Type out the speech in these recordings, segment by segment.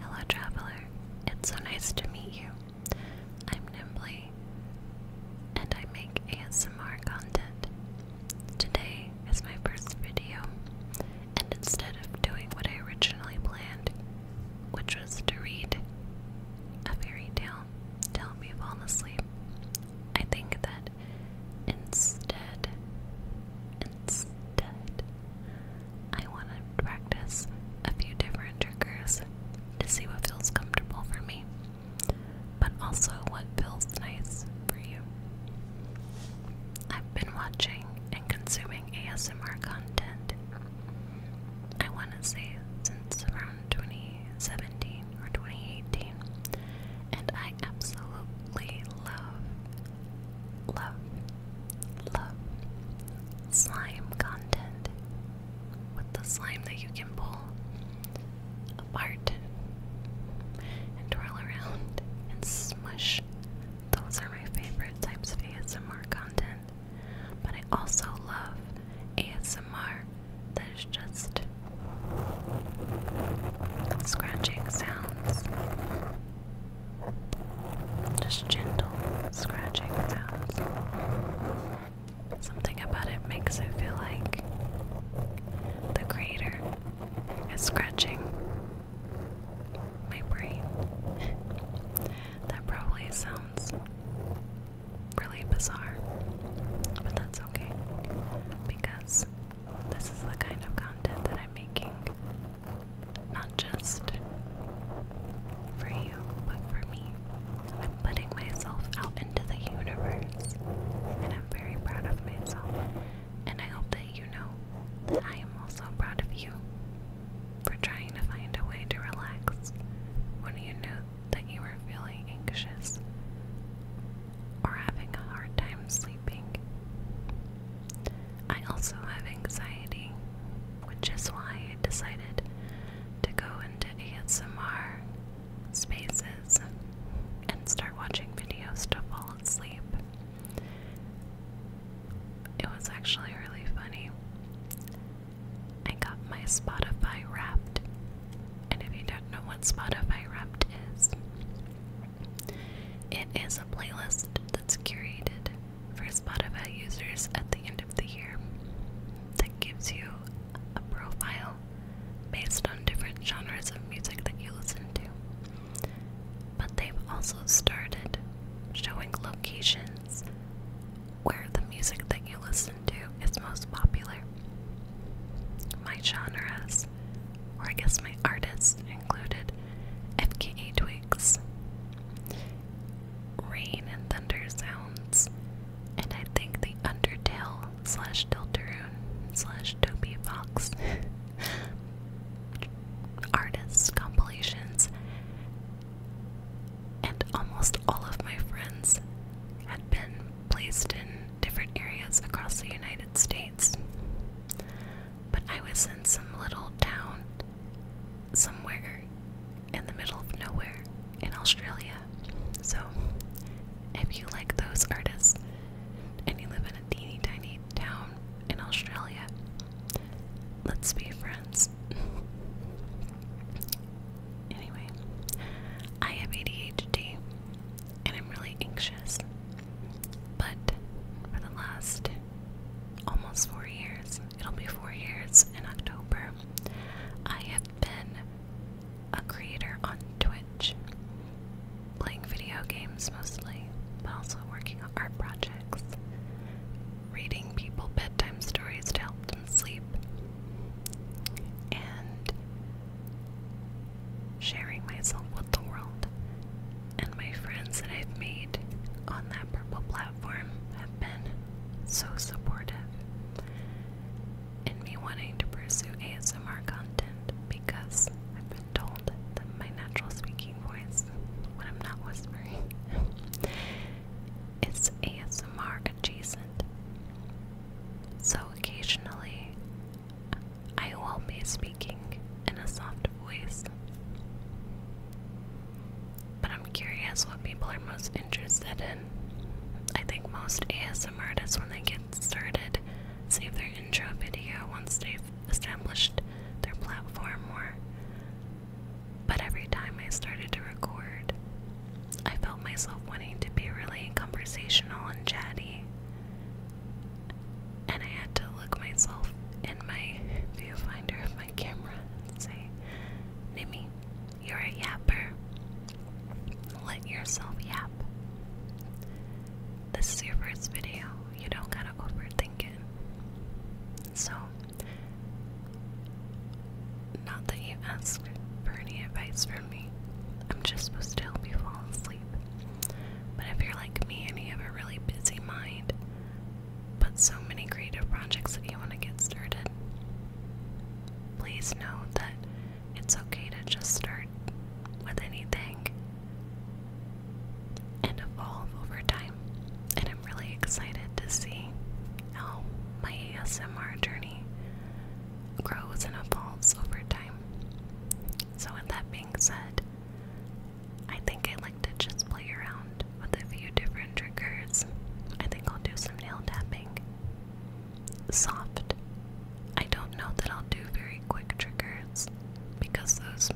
Hello, traveler. It's so nice to meet you. I'm Nimbly, and I make ASMR content. Today is my first video, and instead of doing what I originally planned, which was to read a fairy tale to help me fall asleep, I think that instead, I want to practice a few different triggers to see what feels comfortable for me, but also what feels nice for you. I've been watching and consuming ASMR content, I want to say, since around 2017 or 2018, and I absolutely love love, love slime content with the slime that you can pull apart and twirl around and smush. Those are my favorite types of ASMR content. But I also love ASMR that is just scratching sounds just gentle scratching sounds. Something about it makes it feel like the creator is scratching my brain. that probably sounds really bizarre, but that's okay because this is the kind of content that I'm making not just for you, but for me. I'm putting myself out into the universe, and I'm very proud of myself. And I hope that you know that I am also proud of you for trying to find a way to relax when you knew that you were feeling anxious or having a hard time sleeping. I also have anxiety, which is why I decided to go into ASMR spaces and start watching videos to fall asleep. It was actually really funny. I got my Spotify wrapped, and if you don't know what Spotify wrapped is, it is a playlist that's curated for Spotify users at the end of the year that gives you a profile based on different genres of music that you listen to. But they've also started showing locations where the music that you listen to is most popular. My genres, or I guess my artists, included FKA Twigs, Rain and Thunder Sounds, and I think the Undertale slash Deltarune slash Toby Fox artists compilations. And almost all of my friends had been placed in different areas across the United States but I was in some little town somewhere in the middle of nowhere in Australia. So, if you like those artists and you live in a teeny tiny town in Australia, let's be friends. anyway, I have ADHD and I'm really anxious. But for the last almost four years. It'll be four years in October. I have been a creator on Twitch, playing video games mostly, but also working on art projects, reading people bedtime stories to help them sleep, and sharing myself with the world and my friends that I've made on that purple platform have been so supportive in me wanting to pursue ASMR content because I've been told that my natural speaking voice, when I'm not whispering, is ASMR adjacent. So occasionally I will be speaking in a soft voice. But I'm curious what people are most interested in. I think most ASM artists, when they get started, save their intro video once they've established their platform more. But every time I started to record, I felt myself wanting to be really conversational and chatty and I had to look myself in my viewfinder of my camera and say, Nimmy, you're a yapper. Let yourself yap. This is your first video. You don't gotta overthink it. So, not that you asked for any advice from me. I'm just supposed to help you fall asleep. But if you're like me and you have a really busy mind, but so many creative projects that you want to get started, please know that it's okay to just start with anything and evolve over time. And I'm really excited to see how my ASMR journey grows and evolves over time. So, with that being said, I think I like to just play around with a few different triggers. I think I'll do some nail tapping. Soft. I don't know that I'll do very quick triggers because those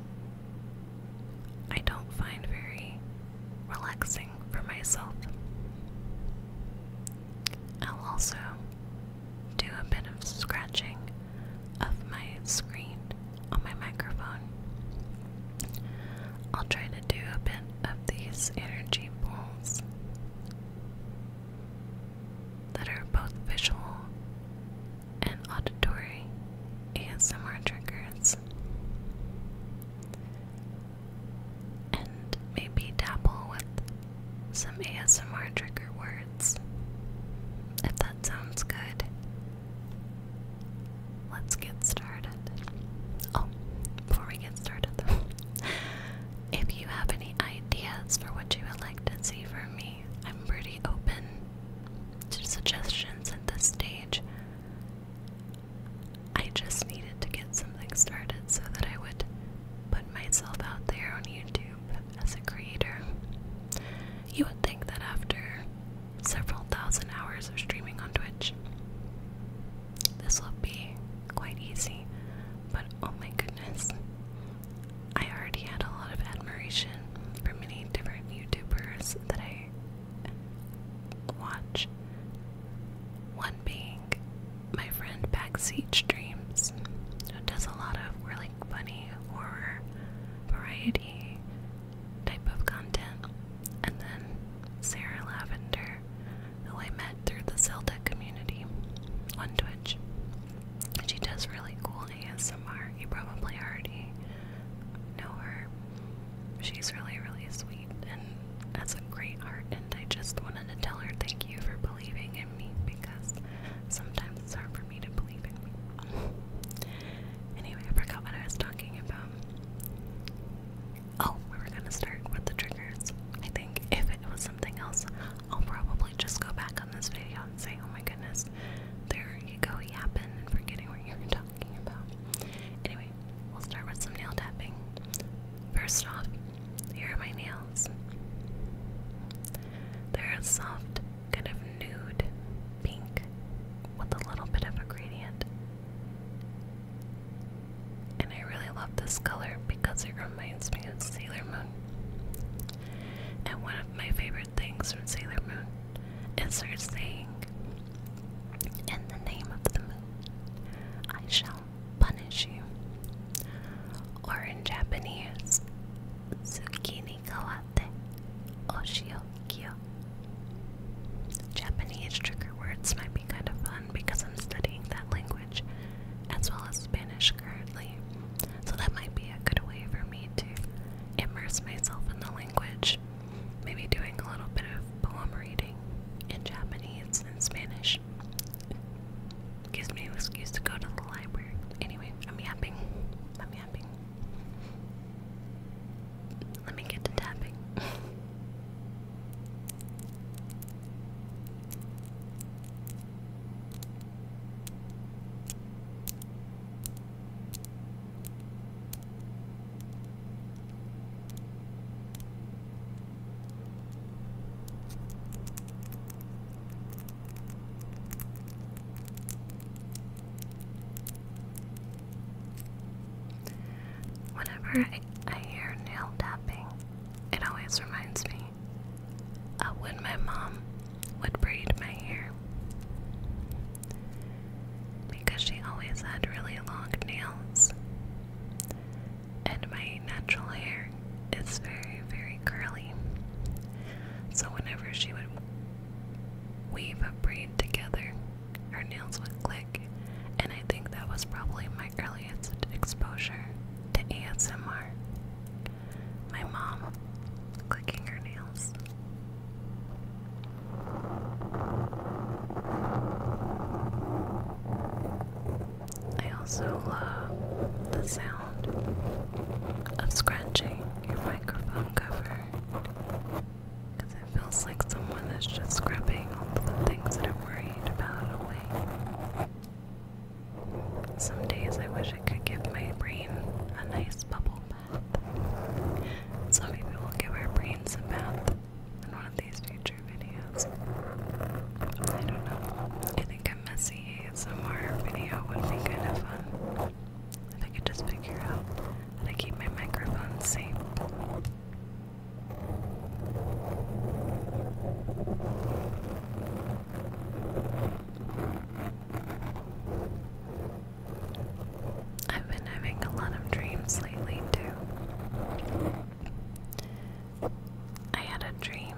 I don't find very relaxing for myself. I'll also do a bit of scratching of my screen on my microphone. I'll try to do a bit of these energy pools that are both visual and auditory ASMR triggers. And maybe dabble with some ASMR trigger words if that that sounds good. Let's get started. Oh, before we get started, if you have any ideas for what you would like to see from me, I'm pretty open to suggestions at this stage. I just needed to get something started so that I would put myself out there on YouTube as a creator. You would think that after several thousand hours of streaming on Twitch, this will be quite easy, but oh my goodness. I already had a lot of admiration for many different YouTubers that I watch. One being my friend Backseat Streams, who does a lot of really funny horror variety type of content. And then Sarah Lavender, who I met through the Celtic community on Twitch. She does really cool ASMR. You probably already know her. She's really, really sweet and that's a great art. And I just wanted to tell her thank you for believing in me because sometimes it's hard anyway, I forgot what I was talking about. Oh, we were gonna start with the triggers. I think if it was something else, I'll probably just go back on this video and say, oh my goodness, there you go yapping and forgetting what you are talking about. Anyway, we'll start with some nail tapping. First off, here are my nails. They're soft kind of nude pink with a little bit of a gradient. And I really love this color because it reminds me of Sailor Moon. And one of my favorite things from Sailor Moon is her saying, In the name of the moon, I shall punish you. Or in Japanese, Tsukini kawate oshiokyo. Japanese trigger words might be kind of fun because I'm studying that language as well as Spanish currently. So that might be a good way for me to immerse myself in the language. Maybe doing a little bit of poem reading in Japanese and Spanish. Gives me an excuse to go to the library. Anyway, I'm yapping. I'm yapping. Let me get to tapping. Whenever I, hear nail tapping, it always reminds me of when my mom would braid my hair. Because she always had really long nails, and my natural hair is very, very curly. So whenever she would weave a braid together, her nails would click, and I think that was probably my earliest exposure to ASMR. My mom clicking her nails. I also love the sound of scratching your microphone cover it feels like someone is just scrubbing all the things that I'm worried about away. Some days I wish I could give my brain a nice bubble bath. So maybe we'll give our brains a bath in one of these future videos. I don't know. I think I'm messy more video would be kind of fun. If I could just figure out how to keep my microphone safe. I've been having a lot of dreams lately, too. I had a dream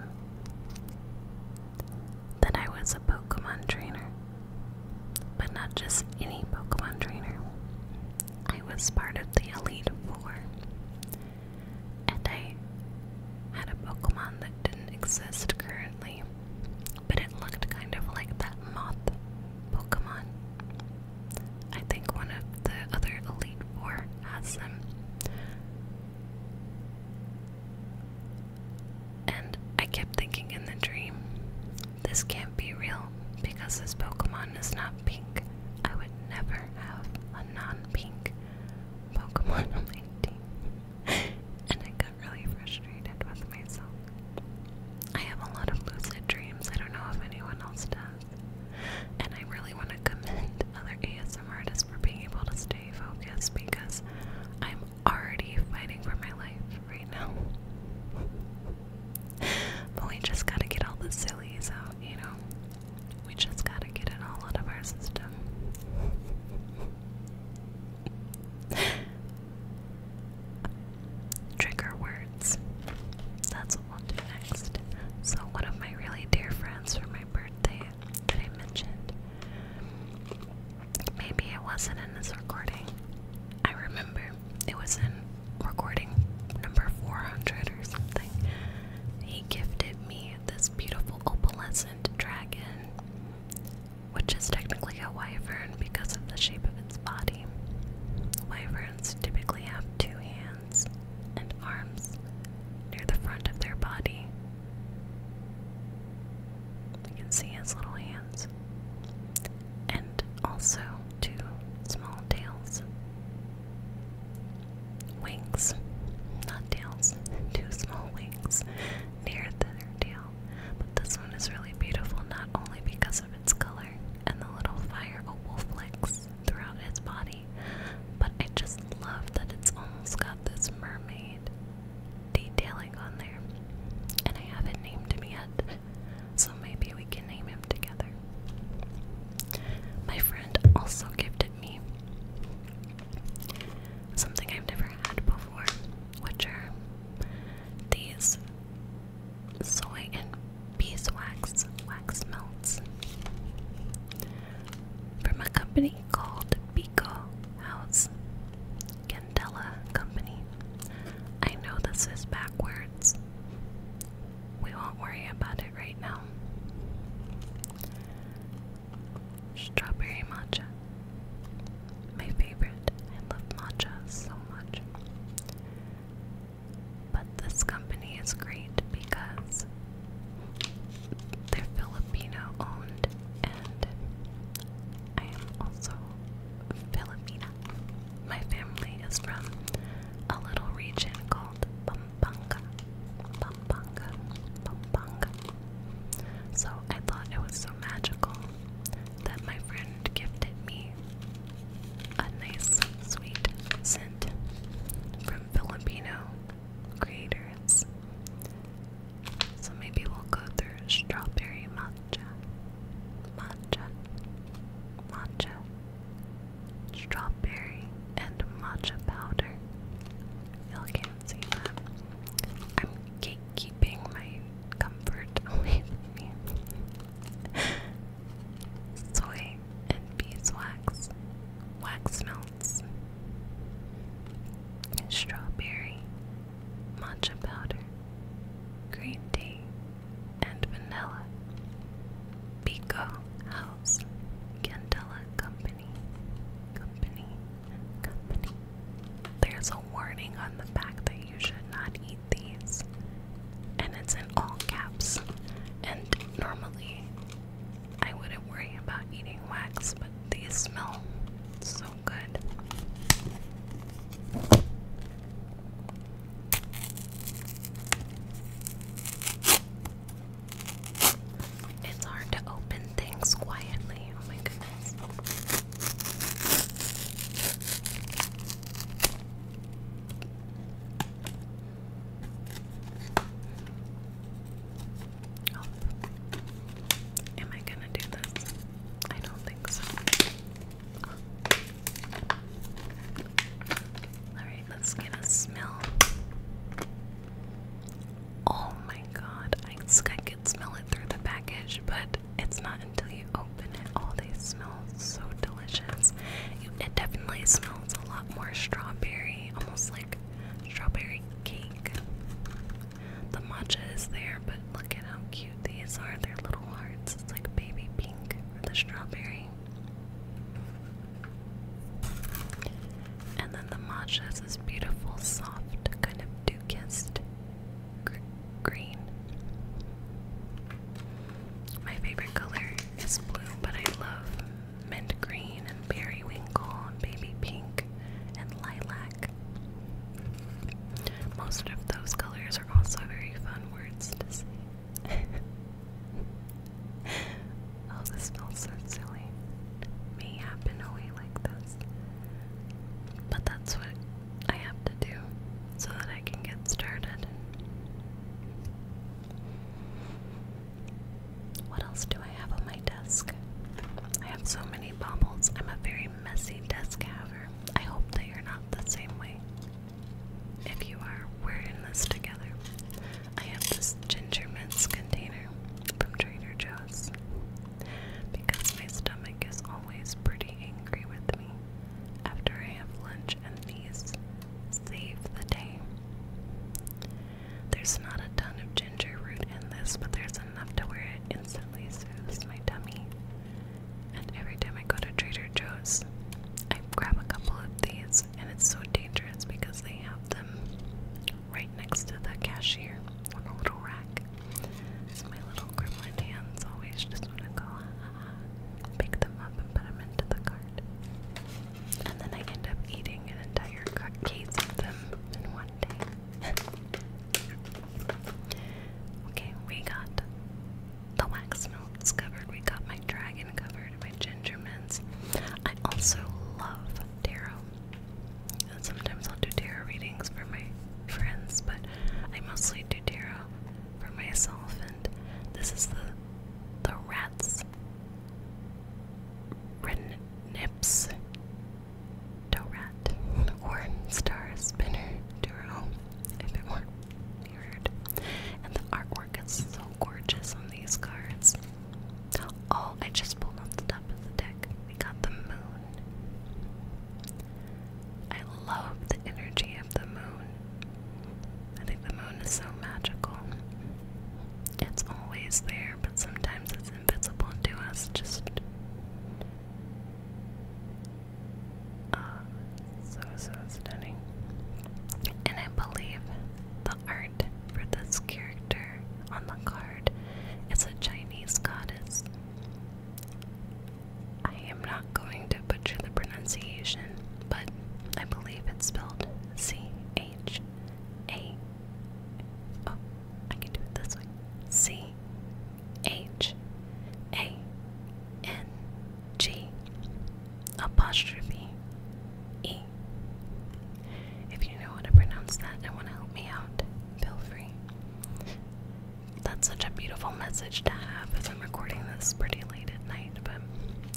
that I was a Pokemon trainer. But not just any Pokemon trainer. I was part of the Elite Four. And I had a Pokemon that didn't exist currently, but it looked kind of like that moth Pokemon. I think one of the other Elite Four has them. And I kept thinking in the dream, this can't be real because this Pokemon is not pink. I would never have a non pink Pokemon on my team. and I got really frustrated with myself. I have a lot of lucid dreams. I don't know if anyone else does. And I really want to commend other ASMR some artists for being able to stay focused because I'm already fighting for my life right now. but we just gotta get all the sillies out, you know? We just gotta get it all out of our system. Trigger words. That's what we'll do next. So, one of my really dear friends for my birthday that I mentioned, Maybe it wasn't in this recording. I remember it was in recording number 400 or something. He gifted me this beautiful opalescent dragon, which is technically a wyvern because of the shape of its body. Wyverns typically have two hands and arms near the front of their body you can see his little hands. And also two small tails. Wings, not tails, two small wings near the tail. But this one is really beautiful not only because of its color and the little fire opal flicks throughout its body, but I just love that it's almost got this mermaid great on there. And I haven't named him yet, so maybe we can name him together. My friend also gifted me something I've never had before, which are these soy and beeswax wax melts from a company called Pico House Candela Company. I know this is backwards. We won't worry about it right now. Strawberry matcha. My favorite. I love matcha so much. But this company is great because they're Filipino owned, and I am also Filipina. My family is from a little region called Pampanga. Pampanga. Pampanga. So I thought it was so magical that my friend gifted me a nice, sweet scent from Filipino creators. So maybe we'll go through strawberry matcha, matcha, matcha, strawberry, and matcha powder. Y'all can't see that. I'm gatekeeping my comfort away from me. Soy and beeswax. Wax smells nuts, strawberry, matcha powder, green tea, and vanilla. Pico House Candela Company. Company. Company. There's a warning on the back that you should not eat these. And it's in all caps. And normally I wouldn't worry about eating wax, but these smell so good. It's hard to open things quietly. Oh my goodness. Oh. Am I gonna do this? I don't think so. Alright, let's get a smell. Oh my god, I, I could smell it through the package, but it's not until you open it. All oh, they smells so delicious. It definitely smells a lot more strawberry, almost like strawberry cake. The matcha is there, but look at how cute these are. They're little hearts. It's like baby pink for the strawberry. And then the matcha is this beautiful, soft, kind of dew-kissed green. My favorite color is blue, but I love mint green and periwinkle baby pink and lilac. Most of those colors are also very fun words to say. oh, this smells so silly. Me happen away like this. But that's what I have to do so that I can get started. What else do I have on my desk? I have so many baubles. I'm a very messy desk haver. I hope that you're not the same way. If you are, we're in this together. I have this ginger mints container from Trader Joe's because my stomach is always pretty angry with me after I have lunch, and these save the day. There's not a ton of ginger root in this, but there's enough to where it instantly soothes my tummy. And every time I go to Trader Joe's, I grab a couple of these, and it's so dangerous because they have them right next to the cashier on a little rack. So my little gremlin hands always just want to go, uh, pick them up and put them into the cart and then I end up eating an entire case of them in one day. okay, we got the wax melts covered. We got my dragon covered. My ginger I also love tarot. And sometimes I'll do tarot readings for my friends, but I mostly do tarot for myself. And this is the the rats. Ren Nips, Dorat, or Star Spinner Duro, if it were mirrored. And the artwork is so gorgeous on these cards. Oh, I just pulled off the top of the deck. We got the moon. I love the energy of the moon. I think the moon is so magical. It's always there, but sometimes it's invisible to us. Just uh, so so stunning. And I believe the art for this character on the card is a Chinese goddess. I am not going to butcher the pronunciation, but I believe it's spelled C H A Oh, I can do it this way. C H A N G apostrophe E. If you know how to pronounce that and want to help me out, feel free. That's such a beautiful message to have as I'm recording this pretty late at night, but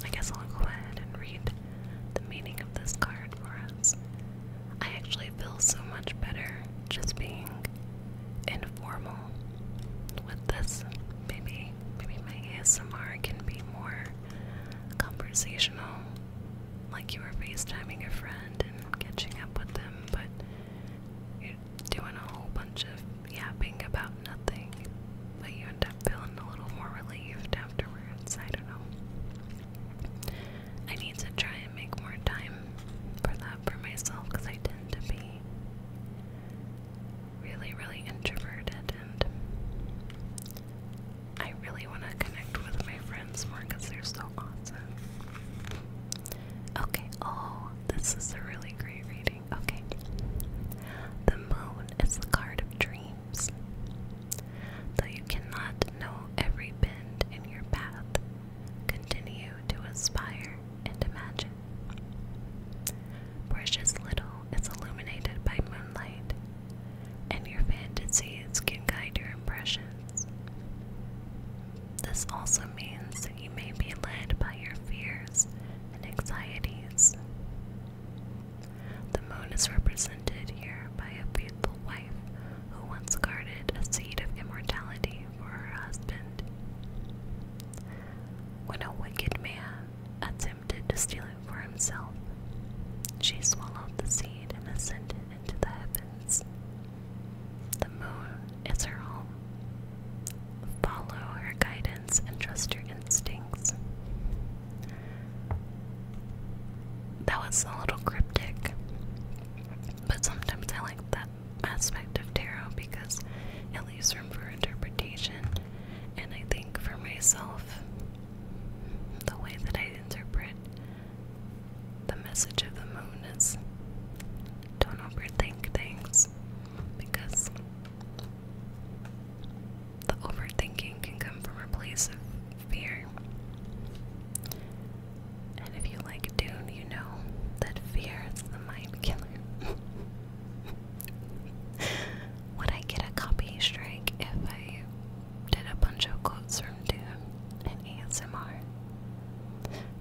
I guess I'll go ahead and read the meaning of this card for us. I actually feel so much better just being informal with this. Maybe maybe my ASMR can be more conversational, like you were FaceTiming a friend and catching up with them, but you're doing a whole bunch of yapping about nothing, but you end i feeling a little more relieved afterwards. I don't know. I need to try and make more time for that for myself because I tend to be really, really introverted and I really want to connect with my friends more because they're so awesome. Okay, oh, this is a really great reading. Okay. The moon is the card of dreams. Though you cannot know every bend in your path, continue to aspire and imagine. Precious little is illuminated by moonlight, and your fantasies can guide your impressions. This also means that you may be led by your fears and anxieties. The moon is represented here by a faithful wife who once guarded a seed of immortality for her husband. When a wicked man attempted to steal it for himself, she swallowed the seed and ascended into the heavens. The moon is her home. Follow her guidance and trust your instincts. That was a little cryptic. But sometimes I like that aspect of tarot because it leaves room for interpretation. And I think for myself, the way that I interpret the message of the moon is don't overthink things because the overthinking can come from a place of fear. And if you like Dune, you know that fear is the mind killer. Would I get a copy strike if I did a bunch of quotes from Dune and ASMR?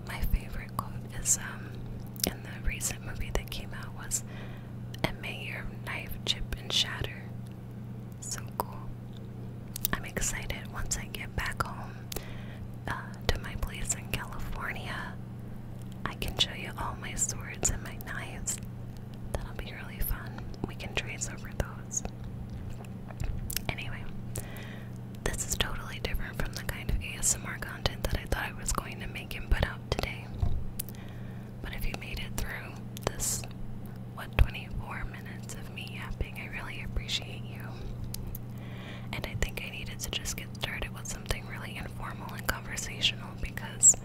My favorite quote is um in the recent movie that came out was a mayor your knife, chip, and shatter. So cool. I'm excited once I get back home uh, to my place in California. I can show you all my swords and my knives. That'll be really fun. We can trace over those. Anyway, this is totally different from the kind of ASMR content that I thought I was going to make and put out today. But if you made it through this, what, 24 minutes of me yapping, I really appreciate you. And I think I needed to just get started with something really informal and conversational because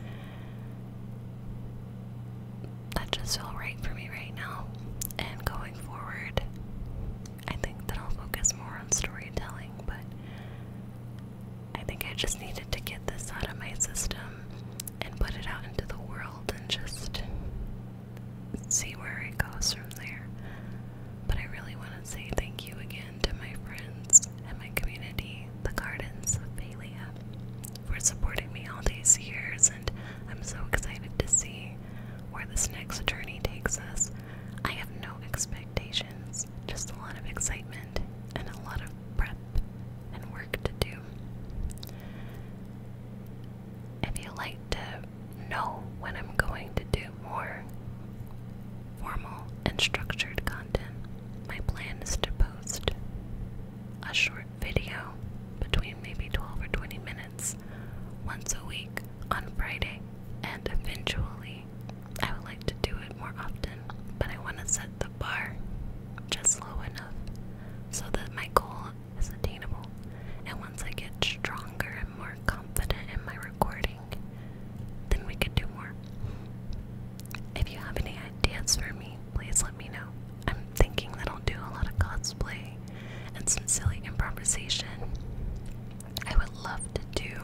that just felt right for me right now. And going forward, I think that I'll focus more on storytelling, but I think I just needed to get this out of my system and put it out into the world and just see where it goes from there. But I really want to say thank you again to my friends and my community, the Gardens of Phalia, for supporting me all these years, and I'm so excited to see where this next journey takes us. I have no expectations, just a lot of excitement and a lot of breath and work to do. If you like to know when I'm going to do more formal and structured content, my plan is to post a short video between maybe 12 or 20 minutes once a week on Friday, and eventually I would like to do it more often, but I want to set the bar just low enough so that my goal is attainable. And once I get stronger and more confident in my recording, then we could do more. If you have any ideas for me, please let me know. I'm thinking that I'll do a lot of cosplay and some silly improvisation. I would love to do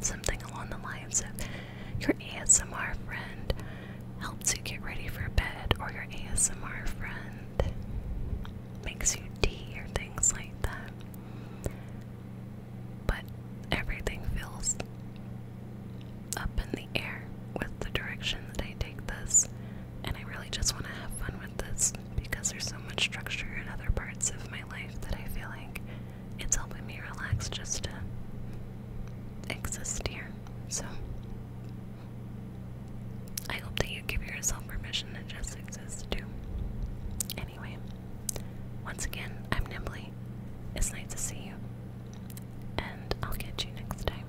something along the lines of your ASMR friend helps you get ready for bed, or your ASMR friend makes you tea or things like that. But everything feels up in the air with the direction that I take this, and I really just want to have fun with this because there's so much structure in other parts of my life that I feel like it's helping me relax just to exist here. So I hope that you give yourself permission to just exist too. Anyway, once again, I'm Nimbly. It's nice to see you. And I'll catch you next time.